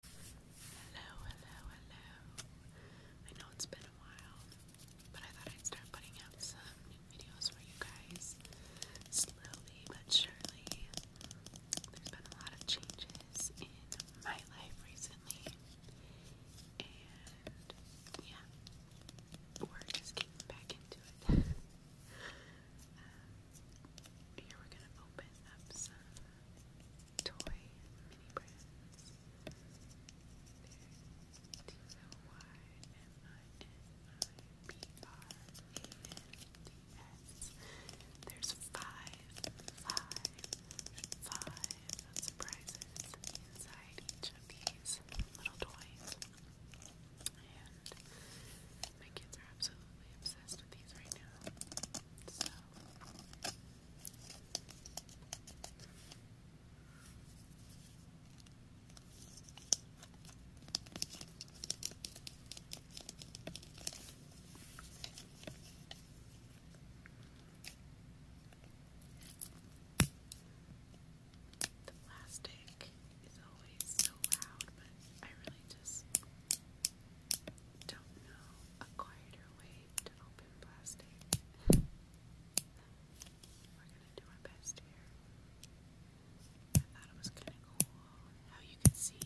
Hello, hello, hello. I know it's been a while, but I thought I'd start putting out some new videos for you guys. Slowly but surely. There's been a lot of changes in my life recently. And yeah, we're just getting back into it. Um, here we're gonna open up some toy mini brands. They're T L Y M I N I B R A N D S. There's five, five, five surprises inside each of these little toys. And my kids are absolutely obsessed with these right now. So the plastic is always so loud, but I really just don't know a quieter way to open plastic. We're gonna do our best here. I thought it was kinda cool how you could see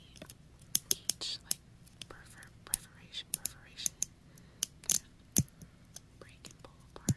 each like perforation perforation break and pull apart.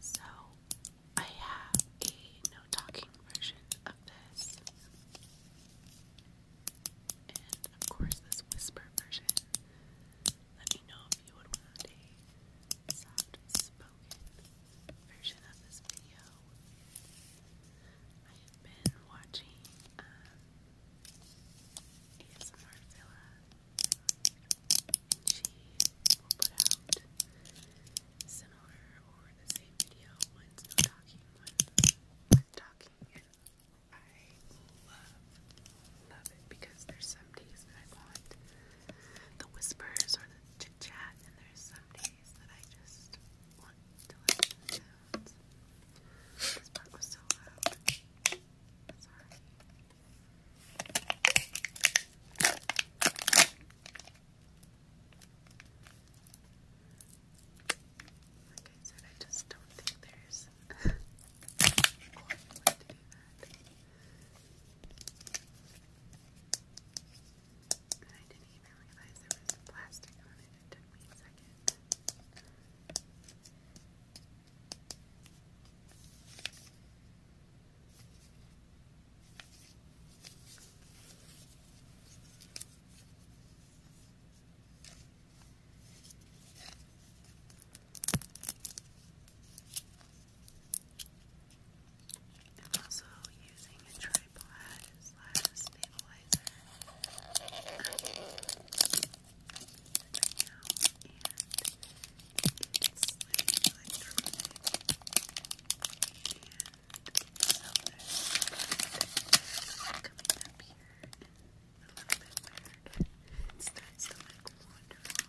So, I have a no talking version of this, and of course, this whisper version. Let me know if you would want a soft spoken version of this video. I have been watching um, Villa, she will put out similar or the same video. One's no talking, one's with talking, and I love, love it because there's some days that I want the whispers or the chit chat, and there's some days that I just want to listen to This part was so loud. Sorry. Like I said, I just don't think there's And I didn't even realize there was plastic on it. It took me a second. I'm also using a tripod slash stabilizer um, right and it's like electronic up here a little bit weird. It starts to like wander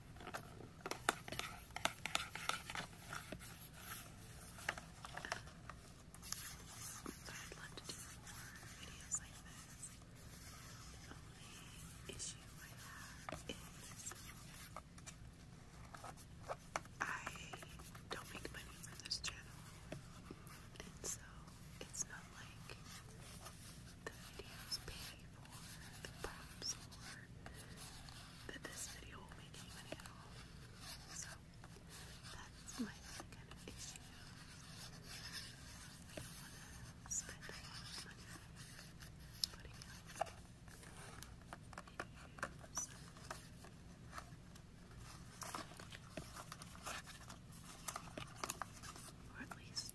The only issue I have is I don't make money for this channel. And so it's not like the videos pay for the props or that this video will make any money at all. So that's my kind of issue. I want to spend a money putting out videos. Or at least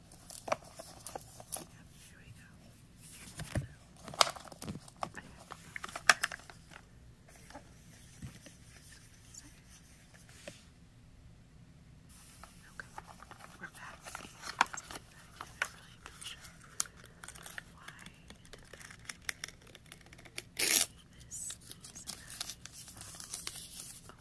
Here we go. Okay, we're back. I'm really not sure why I did that. This is a Oh,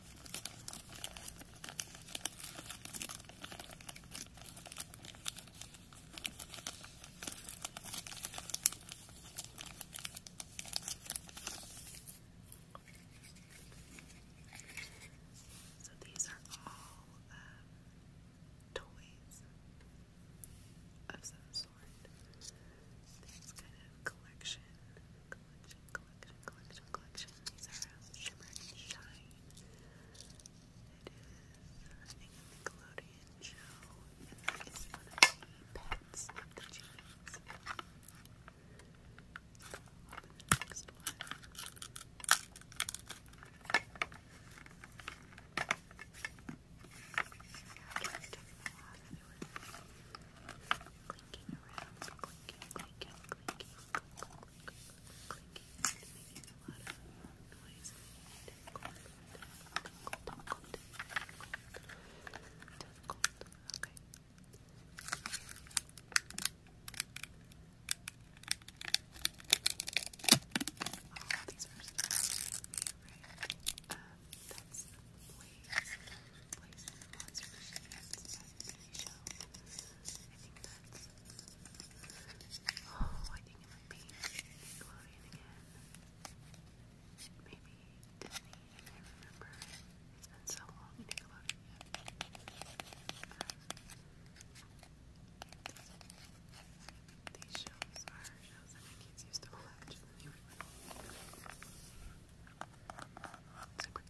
So these are all um, toys of some sort. This kind of collection, collection, collection, collection, These are um, Shimmer and It is, uh, Nickelodeon show, and that is pets of the Genies clinking around, these are some of that's the place place in Oh, I think it might be Nickelodeon again. Maybe Disney, I remember. It's been so long, these shows are shows that kids used to watch when they were little. Super cute.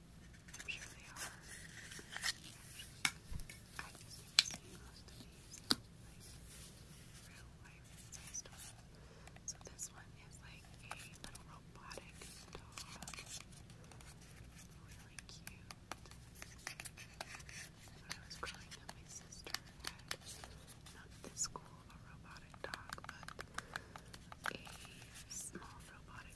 I'm sure they are. I just most of these like real life size So this one is like a little robotic dog. Really cute. I was growing up, my sister had not this cool robotic dog, but a small robotic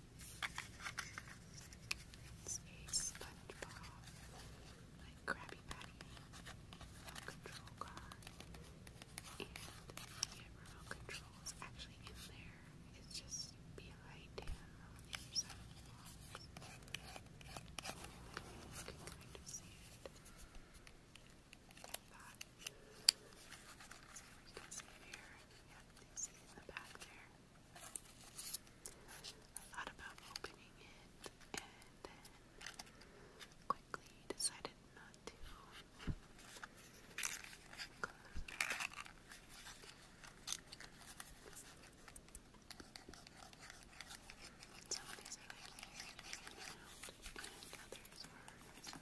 It's very SpongeBob, like Krabby Patty, remote control car, and the remote control is actually in there. It's just behind him on the other you you I thought about opening it and then quickly decided not to. Some of these are like hanging out, and others are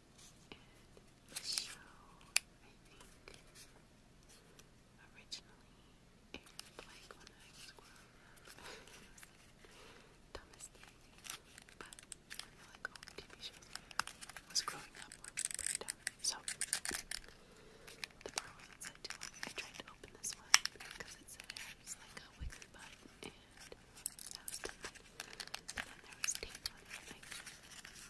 And the show, I think, originally aired like when I was growing up. Dumbest thing. But like all TV shows was growing up So, the Berwins said I tried to open this one because it said it was like a wiggly button and that was the thing. then there was tape on it,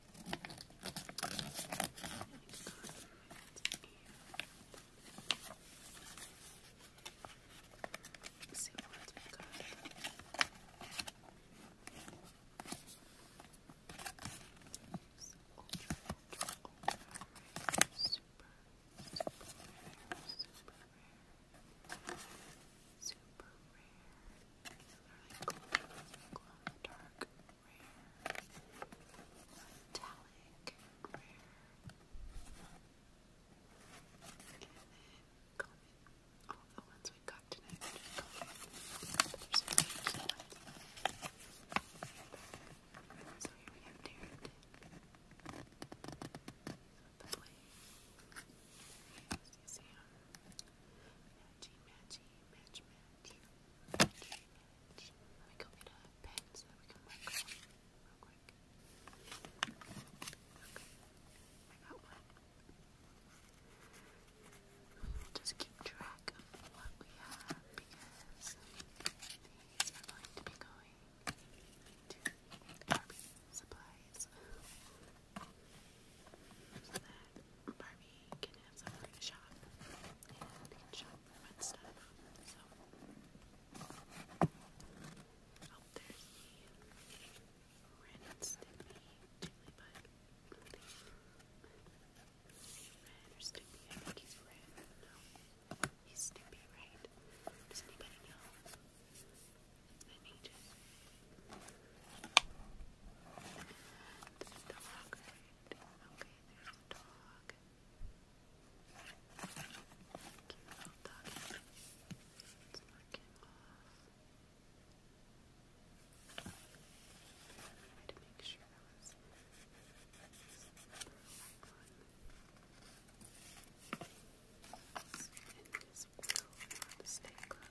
Let's see what else we got. So ultra, ultra, ultra rare, super, super rare, super rare, super rare. They're like glow, glow in the dark rare, metallic, rare. And then common. All the ones we got tonight are just common. There's some interesting ones. So here we have Darren. The play. Yes, you see him. And matchy, matchy, Let me go get a pen so we can mark real quick. just keep track of what we have because these are going to be going to Arby's supplies. Barbie can have somewhere to shop and shop fun stuff. So, oh, there's the red Stimpy Jigglypuff. Red or Stimpy? I think he's red. No, he's Stimpy, right? Does anybody know? Let me there's a dog, there's a dog. Cute little off. I to make sure that was in his will, not the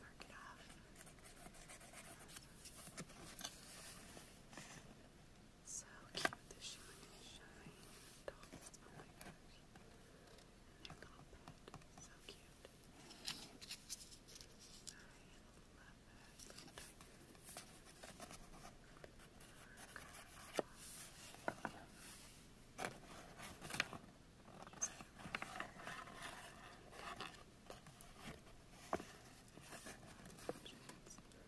mark it off. So cute, the shoe is shine. Dolls, oh my gosh. And their little pet, so cute. I love that little tiger. Mark. So let's put this on. And I'm so glad to be back, and hopefully you can see some more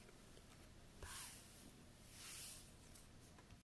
videos from me soon. Bye.